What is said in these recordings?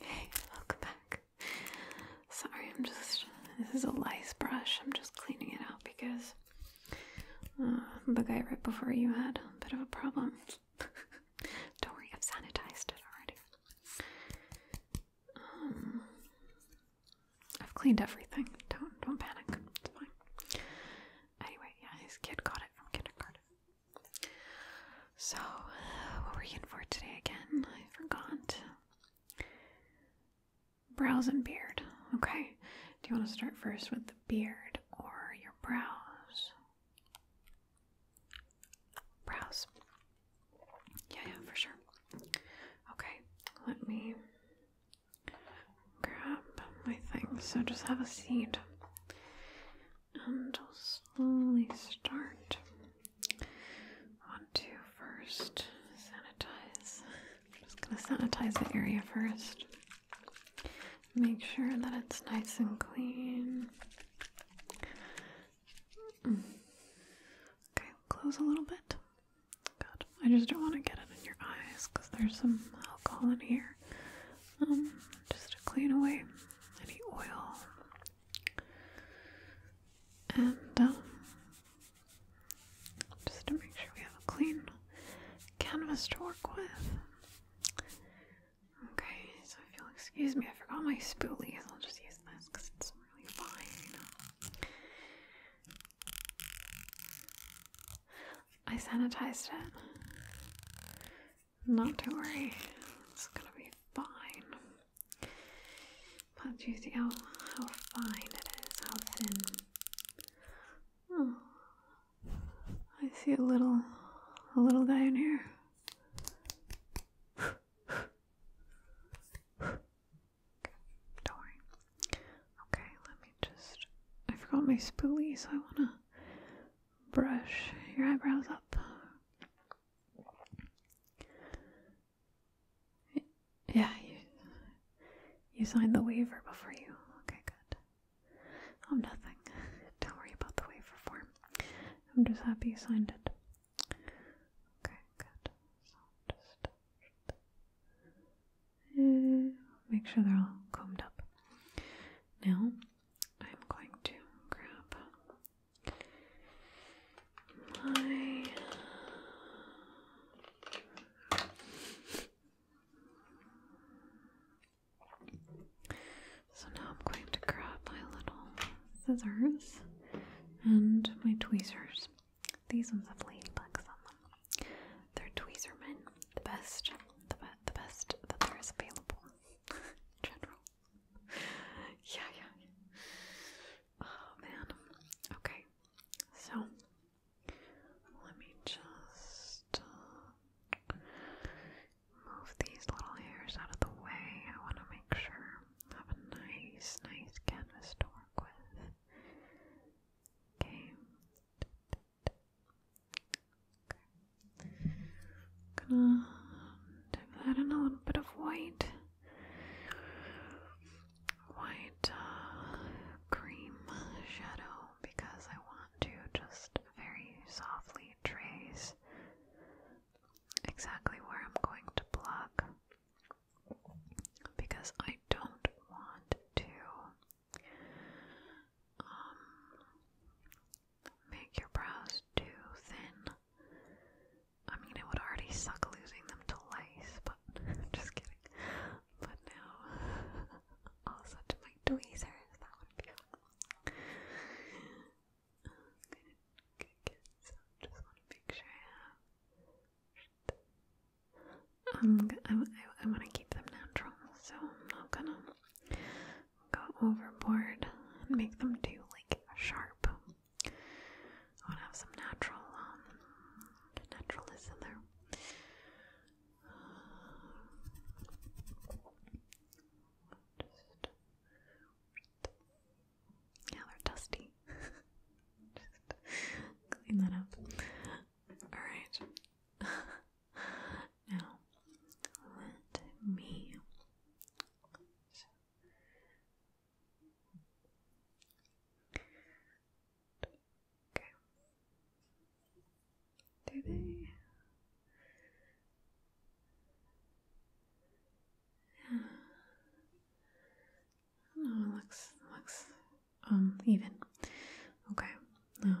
Hey, welcome back. Sorry, I'm just. This is a lice brush. I'm just cleaning it out because uh, the guy right before you had a bit of a problem. Don't worry, I've sanitized it already. Um, I've cleaned everything. Don't don't panic. It's fine. Anyway, yeah, his kid got it from kindergarten. So, what were you in for today again? I forgot. Brows and beard. Okay. Do you want to start first with the beard or your brows? Brows. Yeah, yeah, for sure. Okay, let me grab my thing. So just have a seat and I'll slowly start. I want to first sanitize. I'm just going to sanitize the area first. Make sure that it's nice and clean. Mm. Okay, close a little bit. Good. I just don't want to get it in your eyes because there's some alcohol in here. Um, just to clean away any oil. And um, just to make sure we have a clean canvas to work with. Okay, so if you'll excuse me, I forgot my spoolies. I'll just use this because it's really fine. I sanitized it. Not to worry, it's gonna be fine. But do you see how, how fine it is, how thin? Hmm. I see a little, a little guy in here. Don't worry. Okay, let me just. I forgot my spoolie, so I wanna brush your eyebrows up. Yeah, you, you signed the waiver before you. Okay, good. I'm nothing. Don't worry about the waiver form. I'm just happy you signed it. Okay, good. So just eh, make sure they're all combed up. Now I'm going to grab my so now I'm going to grab my little scissors and my tweezers. These ones have ladybugs on them. They're tweezerman, the best, the, be the best that there is available. General. yeah, yeah, Oh man. Okay. So let me just uh, move these little hairs out of the way. I want to make sure I have a nice, nice canvas to work with. Okay. I'm gonna dip that in a little bit of white, white uh, cream shadow because I want to just very softly trace exactly where I'm going to block because I don't want to um, make your brows too thin. I mean, it would already suck losing them to lice, but just kidding. But now, also to my tweezers, that would be fun. just want to make sure I have. Um, I want to keep them natural, so I'm not gonna go overboard and make them do like sharp. I want to have some natural um, naturalness in there. yeah, they're dusty. Just clean that up. Alright. Now, let me Okay. Do they? Yeah. No, oh, it looks looks um even. Okay. Now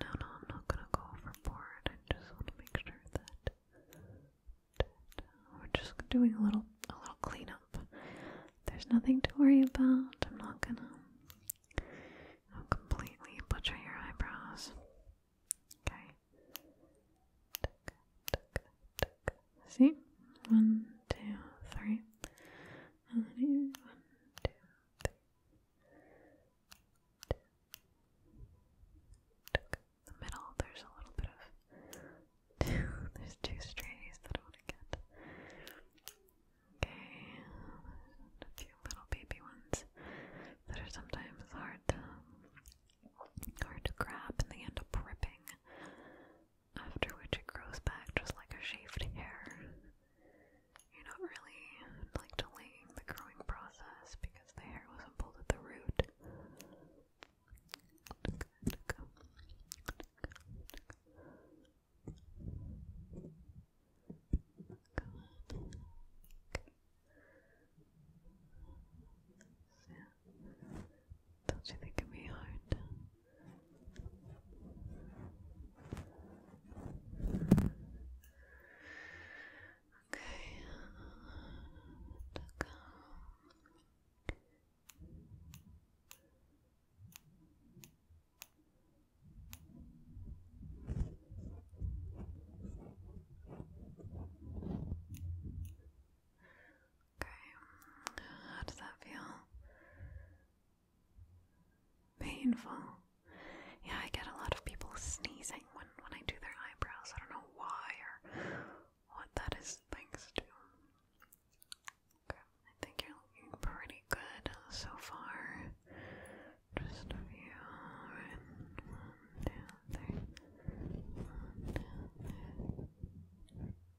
No, no, I'm not gonna go overboard. I just want to make sure that, we're just doing a little, a little cleanup. There's nothing to worry about. I'm not gonna you know, completely butcher your eyebrows. Okay. See? One, two, three. And then one, two, The middle, there's a little bit of There's two strays that I want to get. Okay, a few little baby ones that are sometimes hard hard to grab, and they end up ripping after which it grows back just like a shaved hair. You're not really like delaying the growing process because the hair wasn't pulled at the root. Don't you think it'd be hard? Okay, to go. Okay, how does that feel? Painful. Yeah, I get a lot of people sneezing when when I do their eyebrows. I don't know why or what that is thanks to. Okay, I think you're looking pretty good so far. Just a few. Right?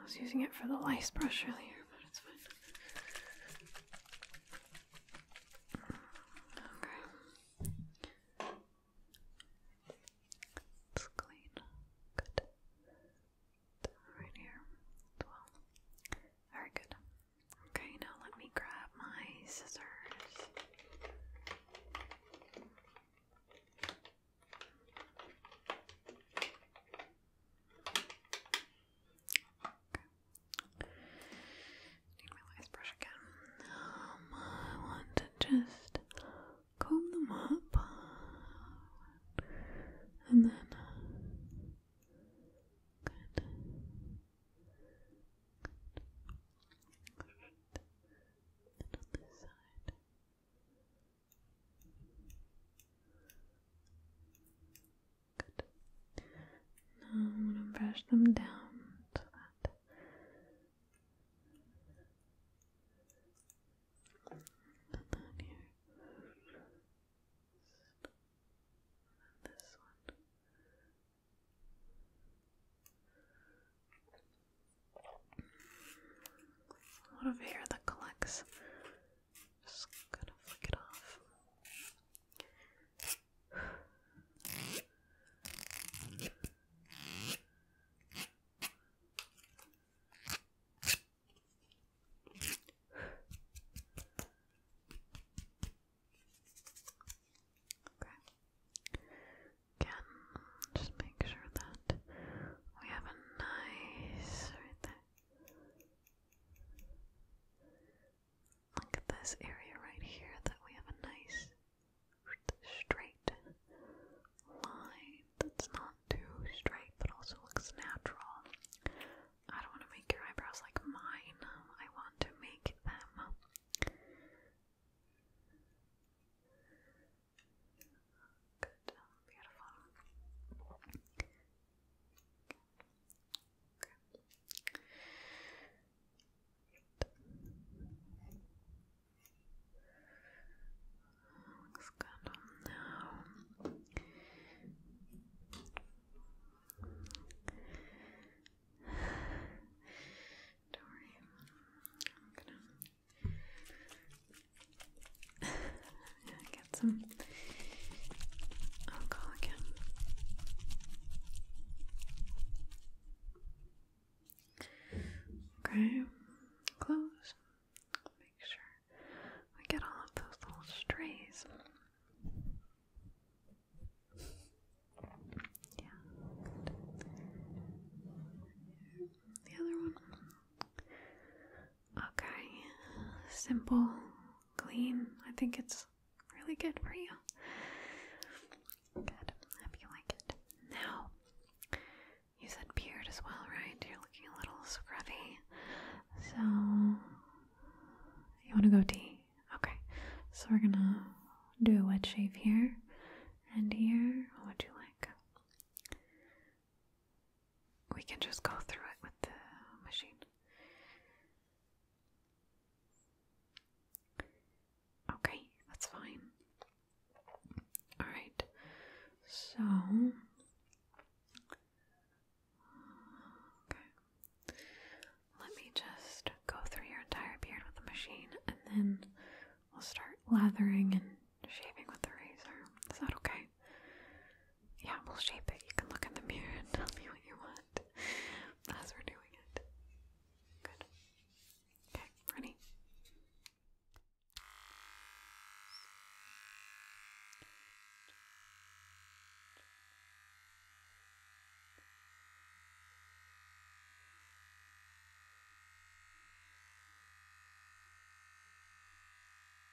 I was using it for the lice brush earlier, but it's fine. Okay. It's clean. Good. Right here well. Very good. Okay, now let me grab my scissors. Need my lice brush again. I want to just comb them up and then. Good. on this side. Good. Now I'm going to brush them down to that. And then here. And this one. A lot of hair that collects just gonna flick it off. Okay. Again, just make sure that we have a nice right there. Look at this area right here that we have a nice straight line that's not too straight but also looks natural. I don't want to make your eyebrows like mine. I want to make them Good, beautiful. Okay. Looks good now. Don't worry, Get some alcohol again. Okay, close. Make sure we get all of those little strays. Yeah. The other one. Okay, simple, clean. I think it's really good for you. Good, I hope you like it. Now, you said beard as well, right? You're looking a little scruffy. So, you want to go D. Okay, so we're gonna do a wet shave here and here. What would you like? we can just go through it with the machine. Okay, that's fine. Alright, so. Let me just go through your entire beard with the machine and then we'll start lathering and shaving with the razor. Is that okay? yeah, we'll shape it. You can look in the mirror and tell me what you want as we're doing it. Good. Okay, ready?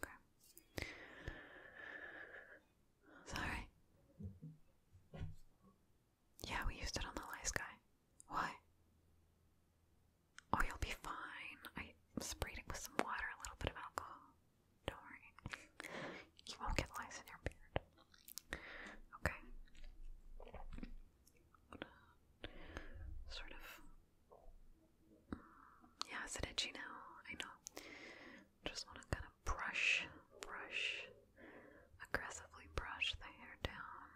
Okay. Sorry. Yeah, we used it on the last guy. Why? Oh, you'll be fine. I sprayed it with some water, a little bit of alcohol. Don't worry. You won't get lice in your beard. Okay. Sort of. Yeah, is it itchy now? I know. Just want to kind of brush, brush, aggressively brush the hair down.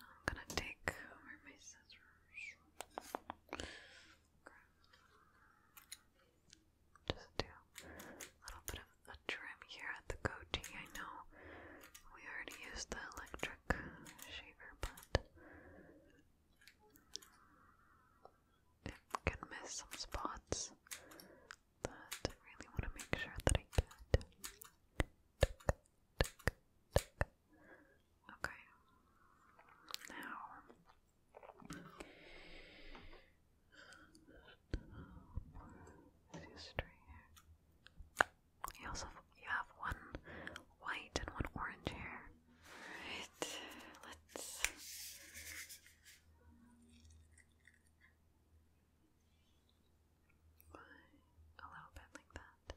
I'm gonna take over my scissors. Okay. Just do a little bit of a trim here at the goatee. I know we already used the electric shaver, but it can miss some spots But I really want to make sure that I get. Okay. Now you also you have one white and one orange hair. Alright, let's a little bit like that.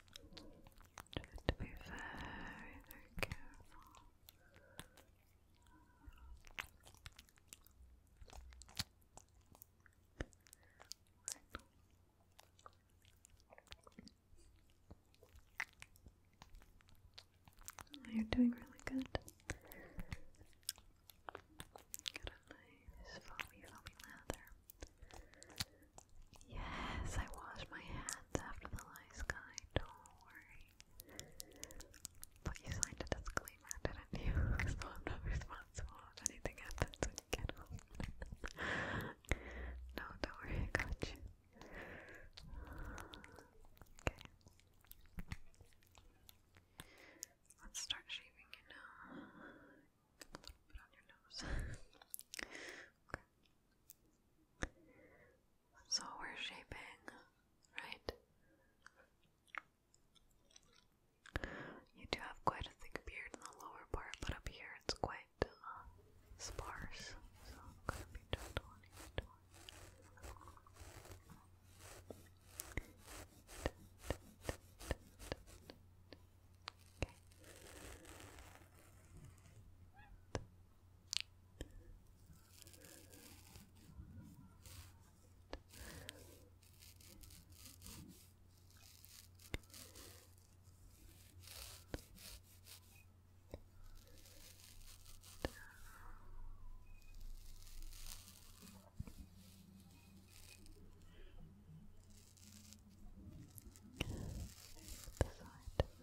You to be very, very careful. You're doing really good. Got a nice foamy, foamy lather. Yes, I wash my hands after the lice guy, don't worry. But you signed a disclaimer, didn't you? so I'm not responsible if anything happens when you get no, don't worry, I Okay. Let's start shaving your nose. A little bit on your nose. okay. So we're shaping, right? You do have quite a thick beard in the lower part, but up here it's quite uh, sparse. So I'm going to be gentle on each Okay. Beside.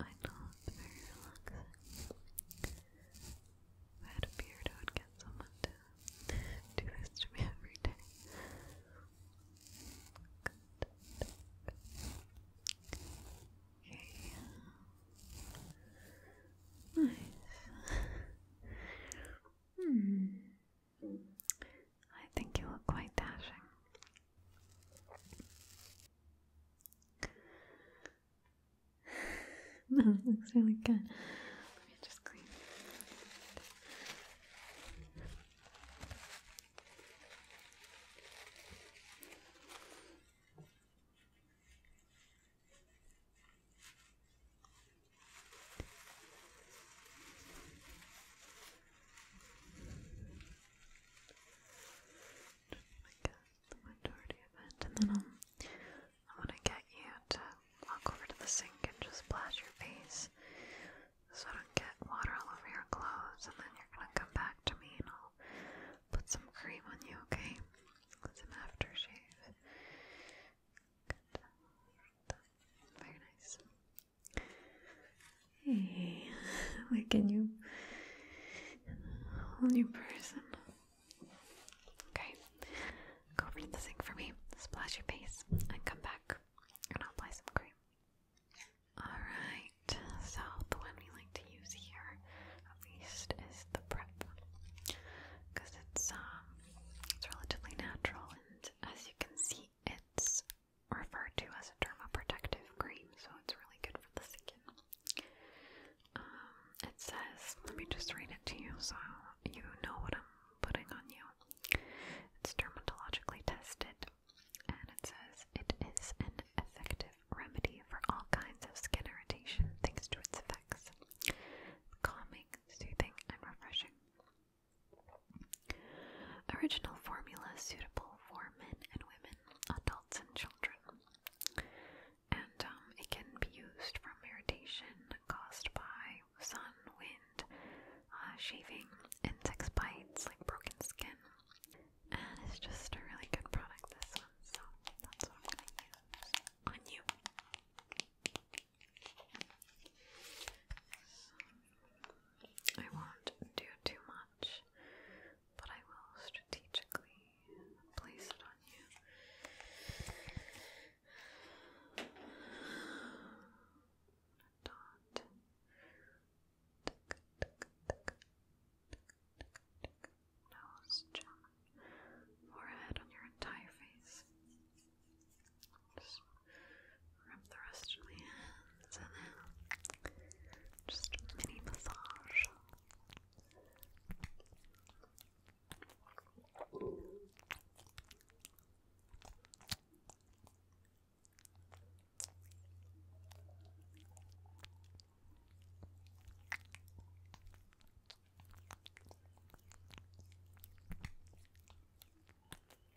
I know it's very I had a beard, I would get someone to do this to me every day. Good. Okay. Nice. hmm. I think you look quite dashing. no, it looks really good. Let me just clean. I guess the majority of it, and then um, I'm gonna get you to walk over to the sink and just splash your face, so don't get water all over your clothes. And then you're gonna come back to me, and I'll put some cream on you, okay? Some aftershave. Very nice. Hey, like a new, whole new person. Okay, go over to the sink for me, splash your face, and come back, and I'll apply some cream. Alright, so the one we like to use here, at least, is the prep. Because it's, um, it's relatively natural as you can see, it's referred to as a dermoprotective cream, so it's really good for the skin. Um, it says, let me just read it to you so you know what I'm putting on you. It's dermatologically tested, and it says it is an effective remedy for all kinds of skin irritation thanks to its effects calming, soothing, and refreshing. Original formula suitable for men and women, adults and children. And um, it can be used from irritation caused by sun, wind, uh, shaving, insect bites like broken skin. And it's just a really good product, this one, so that's what I'm gonna use on you. I won't do too much, but I will strategically place it on you. Dot. Tick, tick, tick, tick, tick. Nose, chin, forehead on your entire face. Just rub the rest of my hands and then just mini massage.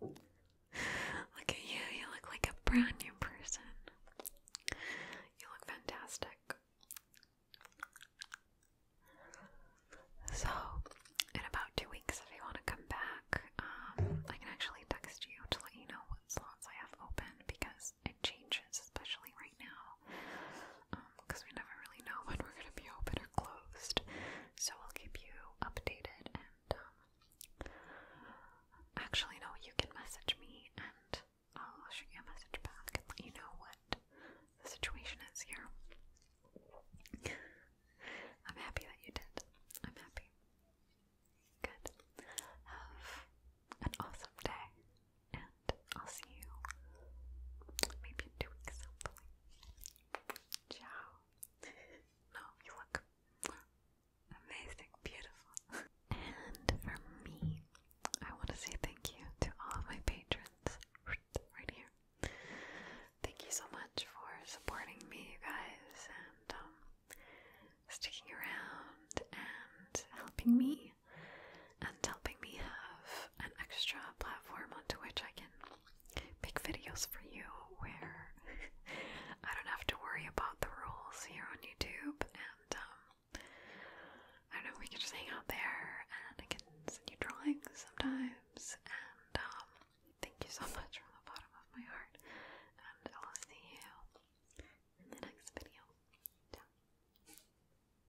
Look at you, you look like a brand new person. You look fantastic. So, in about two weeks, if you want to come back, um, I can actually text you to let you know what slots I have open because it changes, especially right now because um, we never really know when we're going to be open or closed. So I'll keep you updated and, um, actually, no, you can message me and I'll shoot you a message back you know what the situation is here. I'm happy that you did. I'm happy. Good. Have an awesome day and I'll see you maybe in two weeks, Ciao. No, you look amazing, beautiful. And for me, I want to say thank you to all my patrons right here. Thank you so much for supporting me, you guys, and um, sticking around and helping me and helping me have an extra platform onto which I can make videos for you where I don't have to worry about the rules here on YouTube and um, I don't know we can just hang out there and I can send you drawings sometimes and um, thank you so much from the bottom of my heart and I'll see you in the next video. Ciao.